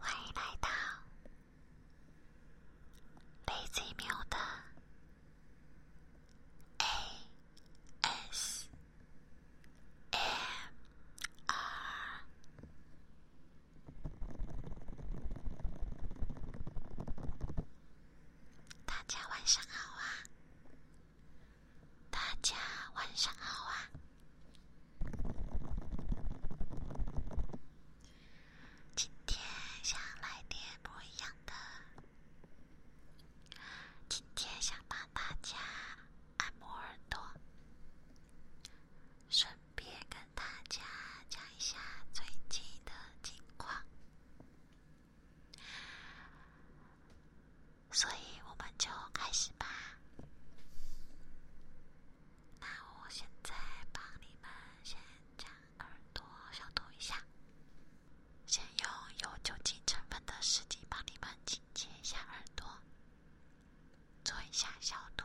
欢迎来到雷子喵的。A S M R，大家晚上好啊！大家晚上好啊！今天想来点不一样的。今天想帮大家按摩耳朵，顺便跟大家讲一下最近的情况。所以我们就开始吧。那我现在帮你们先讲。耳朵消毒一下，先用有酒精成分的湿巾帮你们清洁一下耳朵，做一下消毒。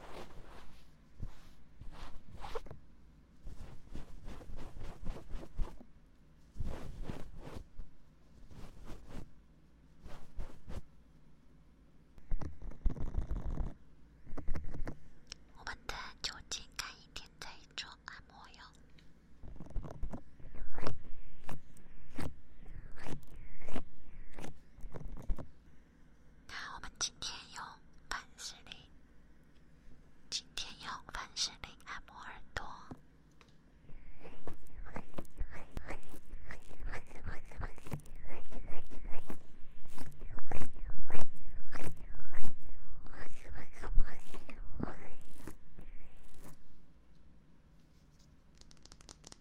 我们的酒精感应垫在做按摩哟。那我们今天用凡士林，今天用凡士林按摩耳朵。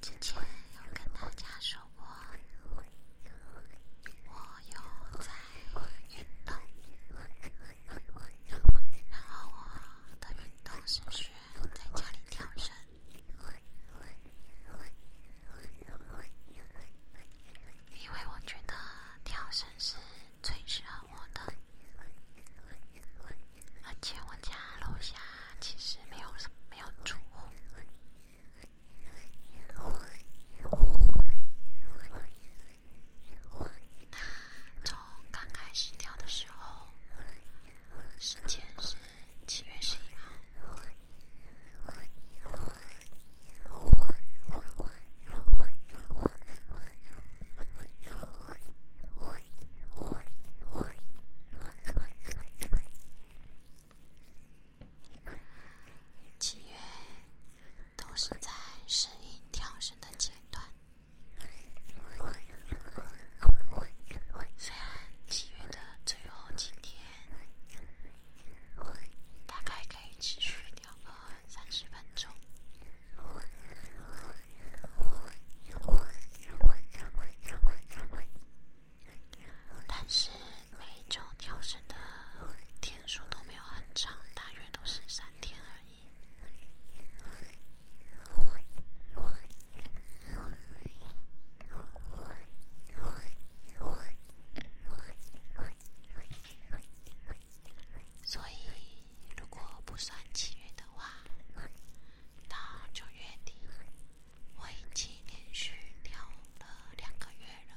之前有跟大家说过，我有在运动，然后我的运动是选在家里跳绳，因为我觉得跳绳是最适合我的。而且我家楼下其实没有什么没有住户。从刚开始跳的时候，时间是七月十一号。七月都是在声音调升的阶段，虽然七月的最后几天，大概可以持续跳个三十分钟。但是每种跳绳的天数都没有很长，大约都是三天而已。所以如果不算七月的话，到九月底。我已经连续聊了两个月了。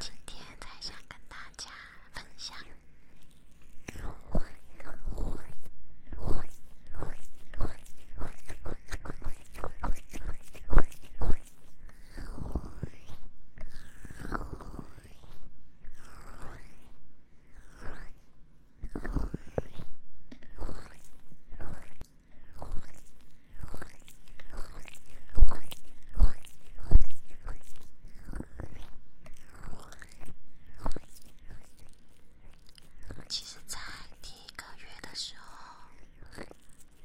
今天才想跟大家分享。其实，在第一个月的时候，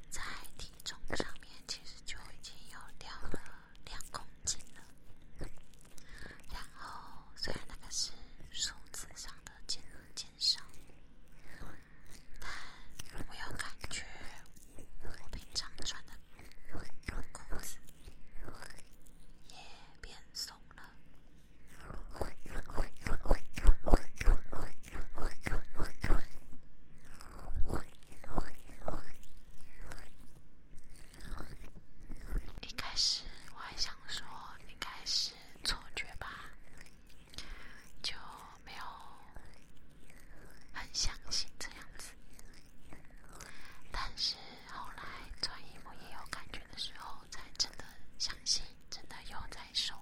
在体重上面其实就已经有掉了两公斤了。然后，虽然那个是数字上的减减少，但我有感觉。我平常穿的也变松了。一开始我还想说应该是错觉吧，就没有很相信这样子。但是后来穿衣服也有感觉的时候，才真的相信，真的有在收了。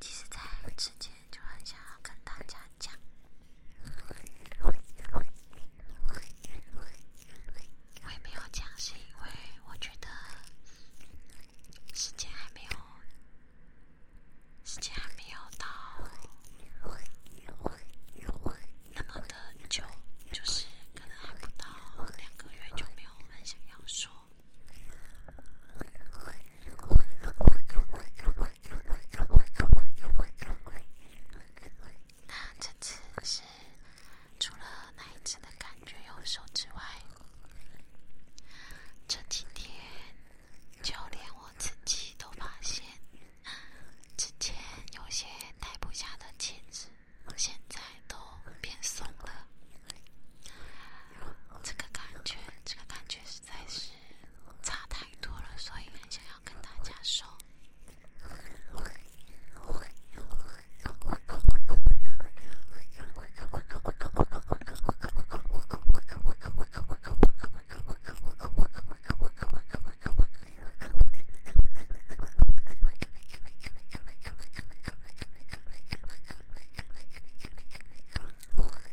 其实，在之前就很想要跟大家讲，我也没有讲，是因为我觉得时间还没有，时间还没有到那么的久，就是可能还不到两个月，就没有很想要说。那这次是，除了那一次的感觉有所之外，这几天就连我自己都发现，之前有些戴不下的戒指，现在都变松了。这个感觉，这个感觉实在是。差太多了，所以想要跟大家说。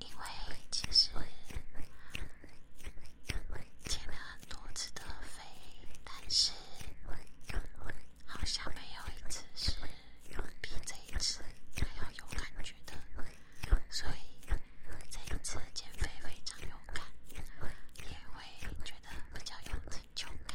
因为其实，填了很多次的飞，但是好像没有一次是比这一次还要有感觉的，所以。这一次减肥非常勇敢，也会觉得比较有成就感。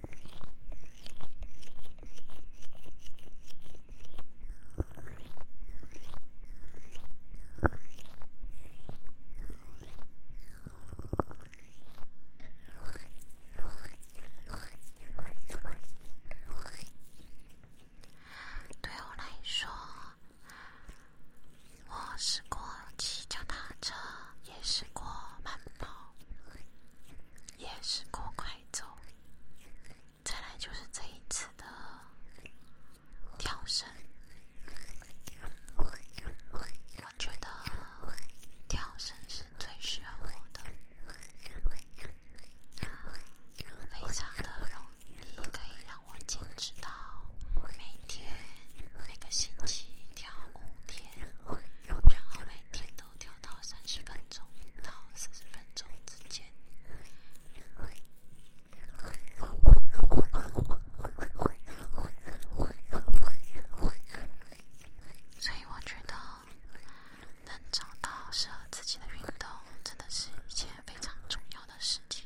对我来说，我是过骑脚踏车。也试过慢跑，也试过快走，再来就是这一次的跳绳。我觉得跳绳是最适合我的，非常的容易，可以让我坚持到每天每个星期。跳五天，然后每天都跳到三十分钟到四十分钟之间。所以我觉得能找到适合自己的运动，真的是一件非常重要的事情。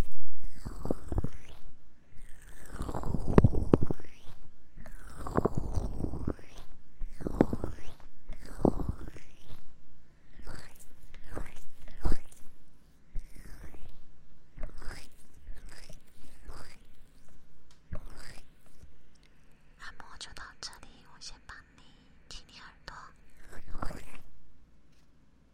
按摩就到这里，我先帮你清理耳朵。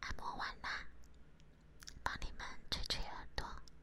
按摩完啦，帮你们吹吹耳朵。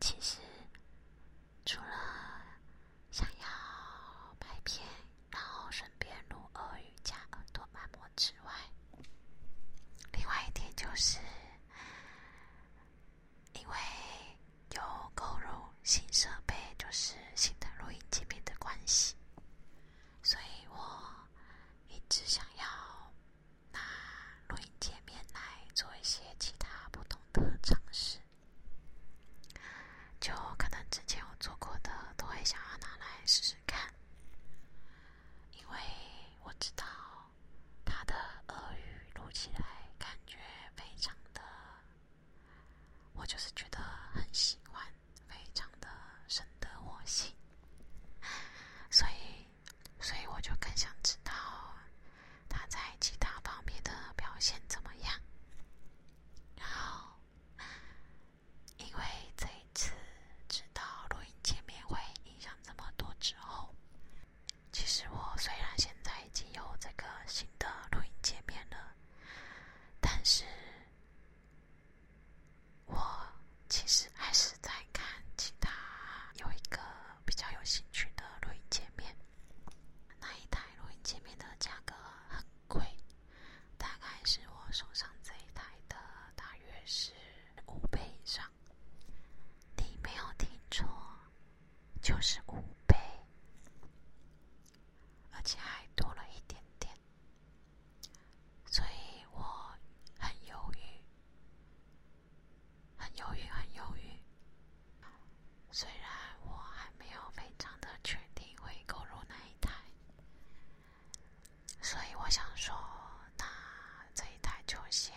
其实，除了。想要拍片，然后顺便录俄语加耳朵按摩之外，另外一点就是，因为有购入新设备，就是新的录音界面的关系，所以我一直想要拿录音界面来做一些其他不同的尝试。就可能之前我做过的，都会想要拿来试试看，因为我知道他的俄语录起来感觉非常的，我就是觉得很喜欢，非常的深得我心，所以，所以我就更想知道。他在其他方面的表现怎么样？然后，因为这一次知道录音界面会影响这么多之后，其实我虽然现在已经有这个新的录音界面了，但是，我其实还是在看其他有一个。比较有兴趣的录音界面，那一台录音界面的价格很贵，大概是我手上这一台的，大约是五倍以上。你没有听错，就是五倍，而且还多了一点点，所以我很犹豫，很犹豫，很犹豫。虽然我还没有非常的确定会购入那一台，所以我想说，那这一台就先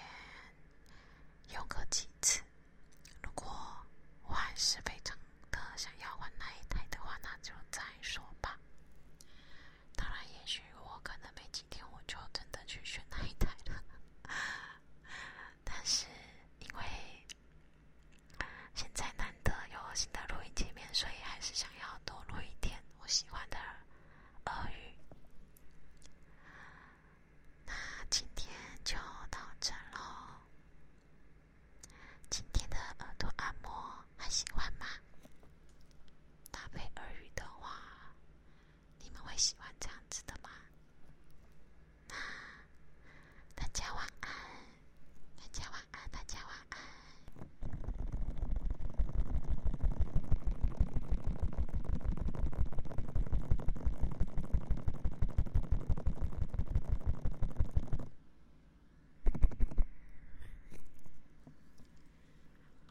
用个几次。如果我还是非常的想要换那一台的话，那就再说吧。当然，也许我可能没几天我就真的去选那一台了。但是，因为现在难得有新的录音界面，所以还是想要多录一点我喜欢的俄语。那今天就到这喽。今天的耳朵按摩还喜欢吗？搭配耳语的话，你们会喜欢这样子的吗？大家晚安，大家晚安，大家晚安，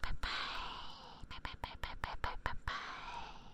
拜拜，拜拜拜拜拜拜拜拜。